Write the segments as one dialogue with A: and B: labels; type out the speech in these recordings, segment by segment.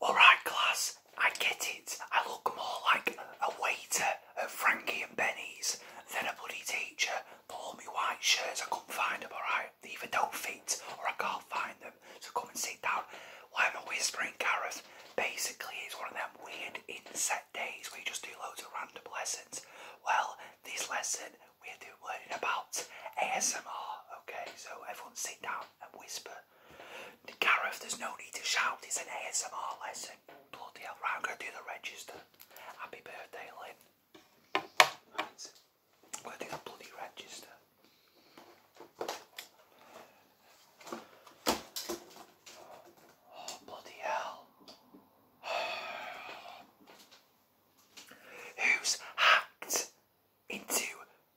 A: Alright class, I get it. I look more like a waiter at Frankie and Benny's than a bloody teacher. Pull me white shirts, I couldn't find them, alright? They either don't fit or I can't find them. So come and sit down. Why am I whispering, Gareth? Basically, it's one of them weird inset days where you just do loads of random lessons. Well, this lesson, we are doing you about ASMR. Okay, so everyone sit down and whisper. Gareth, there's no need to shout. It's an ASMR lesson. Bloody hell, I'm going to do the register. Happy birthday, Lynn. going to do the bloody register. Oh, bloody hell. Who's hacked into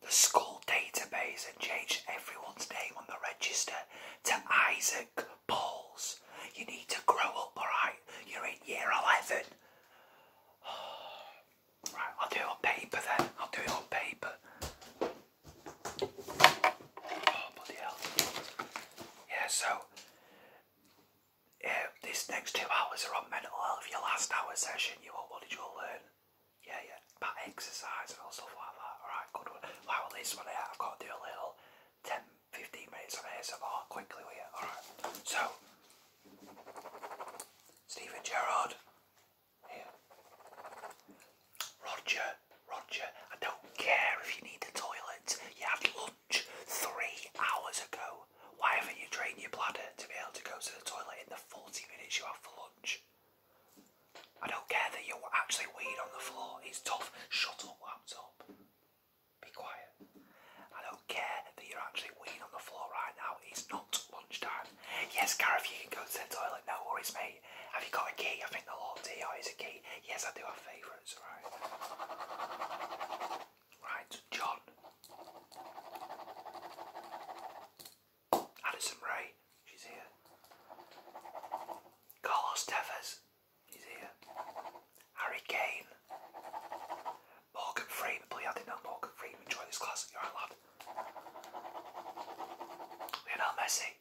A: the school database and change everyone's name on the register to Isaac Pauls. You need to grow up, alright? You're in year 11. Right, I'll do it on paper then. I'll do it on paper. Oh, bloody hell. Yeah, so uh, this next two hours are on mental health. Your last hour session, you all, what did you all learn? Yeah, yeah, about exercise and all stuff like that. Alright, good one. Right, well, this one here, I've got to do a little 10 15 minutes of ASMR quickly with you. Alright, so Stephen Gerrard Roger, Roger, I don't care if you need the toilet. Yeah, I'd lunch three hours ago. Why haven't you trained your bladder to be able to go to the toilet in the 40 minutes you have for lunch? I don't care that you're actually weed on the floor. It's tough. Shut up, laptop. Be quiet. I don't care that you're actually weed on the floor right now. It's not lunchtime. Yes, Gareth, you can go to the toilet. No worries, mate. Have you got a key? I think the Lord's here is a key. Yes, I do have favourites, right? Right, John. Addison Ray, she's here. Carlos Tevez, he's here. Harry Kane. Morgan Freeman, please I didn't know Morgan Freeman joined this class. You're right, lad. Lionel Messi.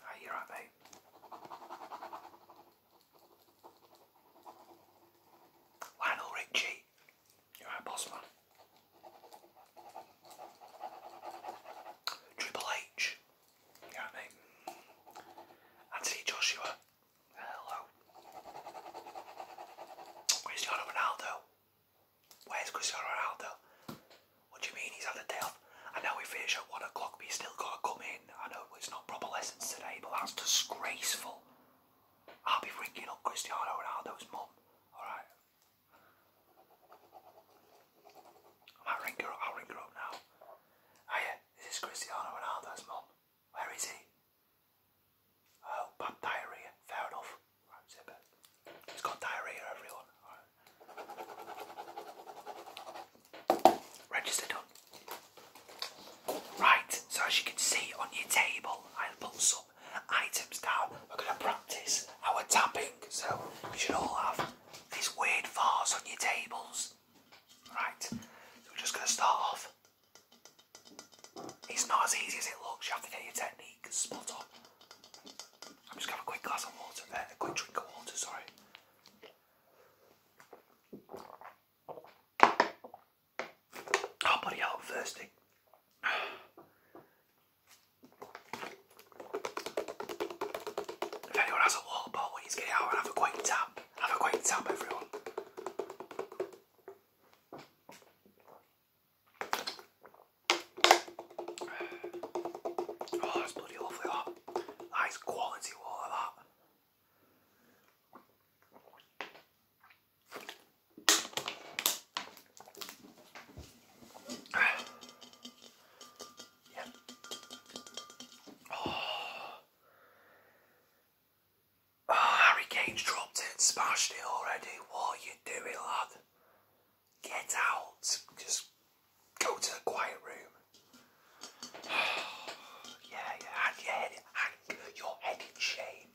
A: Right, you right, mate. Lionel Richie, you're our boss Triple H, you know what I mean? Anthony Joshua, hello. Cristiano Ronaldo, where's Cristiano Ronaldo? What do you mean he's had a day off? I know we finish at 1 o'clock but he's still got to come in. I know it's not proper lessons today, but that's disgraceful. I'll be ringing up Cristiano Ronaldo's mum, alright? I might ring her up, I'll ring her up now. Hiya, this is Cristiano Ronaldo's mum. Where is he? Oh, bad diarrhea. Fair enough. it. has got diarrhea, everyone registered Right, so as you can see on your table, I've put some items down. We're going to practice our tapping, so you should all have these weird vase on your tables. Right, we're just going to start off. It's not as easy as it looks, you have to get your technique spot on. I'm just going to have a quick glass of water there, a quick drink of water, sorry. Oh, buddy, i thirsty. If anyone has a water bottle, please get it out and have a quick tap. Have a quick tap, everyone. Oh, that's bloody lovely, that. That is quality water, that. Yeah. Oh. Oh, Harry dropped it, smashed it already. What are you doing, lad? Get out. Just go to the quiet room. yeah, Hang your head, hang your head in shame.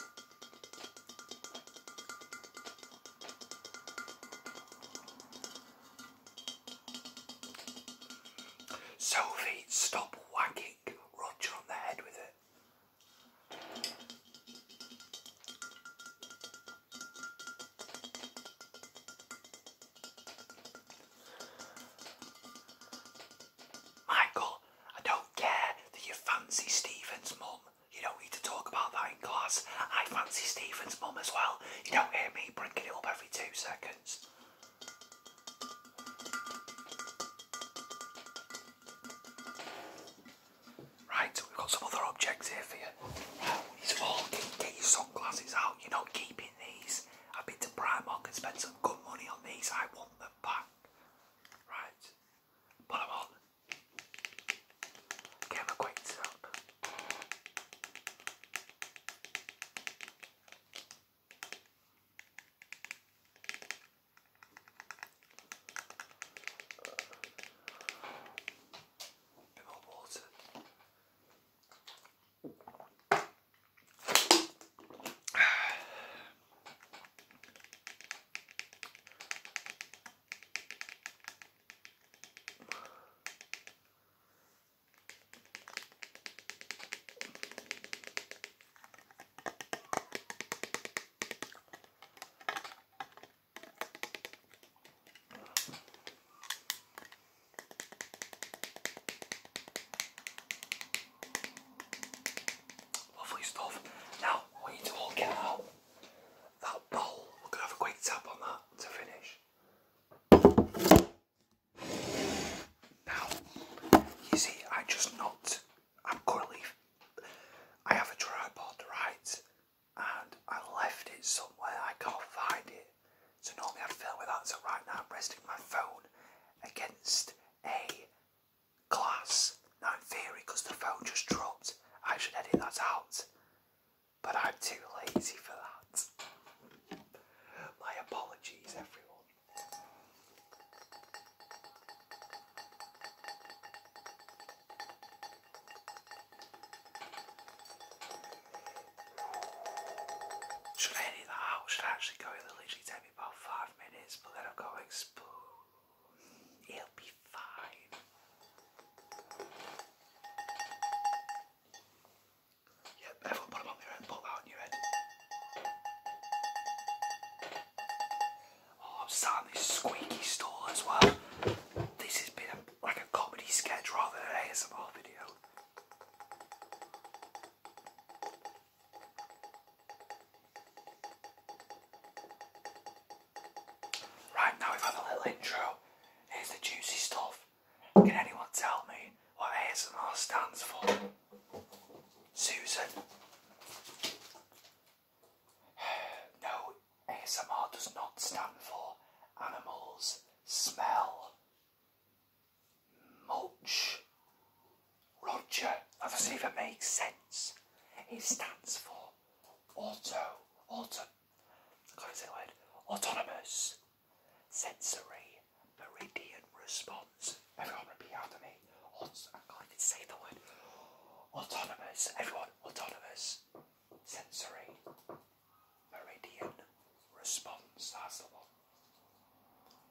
A: Sophie, stop whacking Roger on the head with it. Michael, I don't care that you fancy Stephen's mum. You don't need to talk about that in class. I fancy Stephen's mum as well. You don't hear me bringing it up every two seconds. Right, so we've got some other objects here for you. It's all get, get your sunglasses out. You're not keeping these. I've been to Primark and spent some good money on these. I want them back. Right, put on. Get them acquainted up bit more water. Lovely stuff. Now we need to all out that bowl. We're gonna have a quick tap on that to finish. Now, you see, I just not. I'm currently, I have a tripod, right, and I left it somewhere, I can't find it. So normally I'd film with that, so right now I'm resting my phone against a glass. Now in theory, because the phone just dropped, I should edit that out. But I'm too lazy for that. My apologies everyone. Should I edit that Should actually go? It'll literally take me about five minutes, but then I've got to explode. It'll be fine. Yep, everyone put them on your head, put that on your head. Oh, I'm sat this squeaky stool as well. This has been a, like a comedy sketch rather than an ASMR video. Right now we've had a little intro. Here's the juicy stuff. Can anyone tell me what ASMR stands for? Susan. No, ASMR does not stand for animals smell Much. Roger, that doesn't it makes sense. It stands for auto, auto, can't say the word, autonomous sensory Meridian response. Everyone repeat after me. Aut I can't even say the word. Autonomous. Everyone, autonomous. Sensory. Meridian response. That's the one.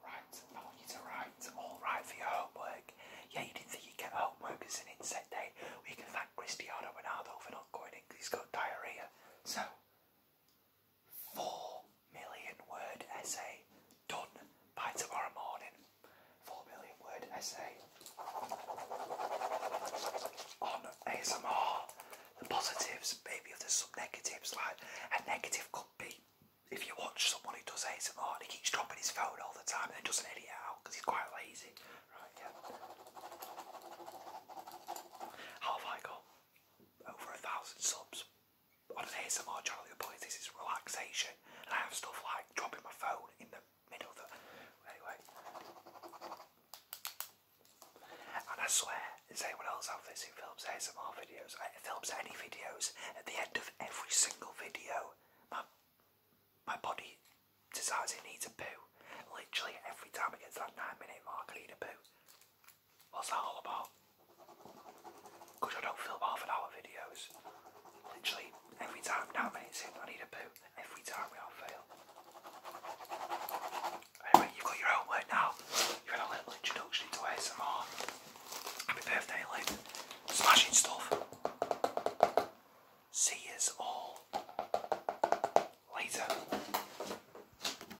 A: Right. I want you to write. All right for your homework. Yeah, you didn't think you'd get homework. as an inset day. Eh? We can thank Cristiano Ronaldo for not going in because he's got diarrhea. So, four million word essay done by tomorrow morning. Four million word essay on ASMR. The positives, maybe there's some negatives. Like a negative could be if you watch someone who does ASMR and he keeps dropping his phone all the time and then doesn't edit it out because he's quite lazy. Right, yeah. How have I got over a thousand subs? I do on an ASMR channel who believes this is relaxation, I have stuff like dropping my phone in the middle of the. Anyway. And I swear, does anyone else have this who films ASMR videos? I eh, films any videos at the end of every single video. My, my body decides it needs a poo. Literally every time it gets that nine minute mark, I need a poo. What's that all about? Because I don't film half an hour videos. Literally, every time now minutes in, I need a poo. Every time without fail. Anyway, you've got your own now. you had a little introduction to ASMR. Happy birthday, Lynn. Smashing stuff. See yous all later.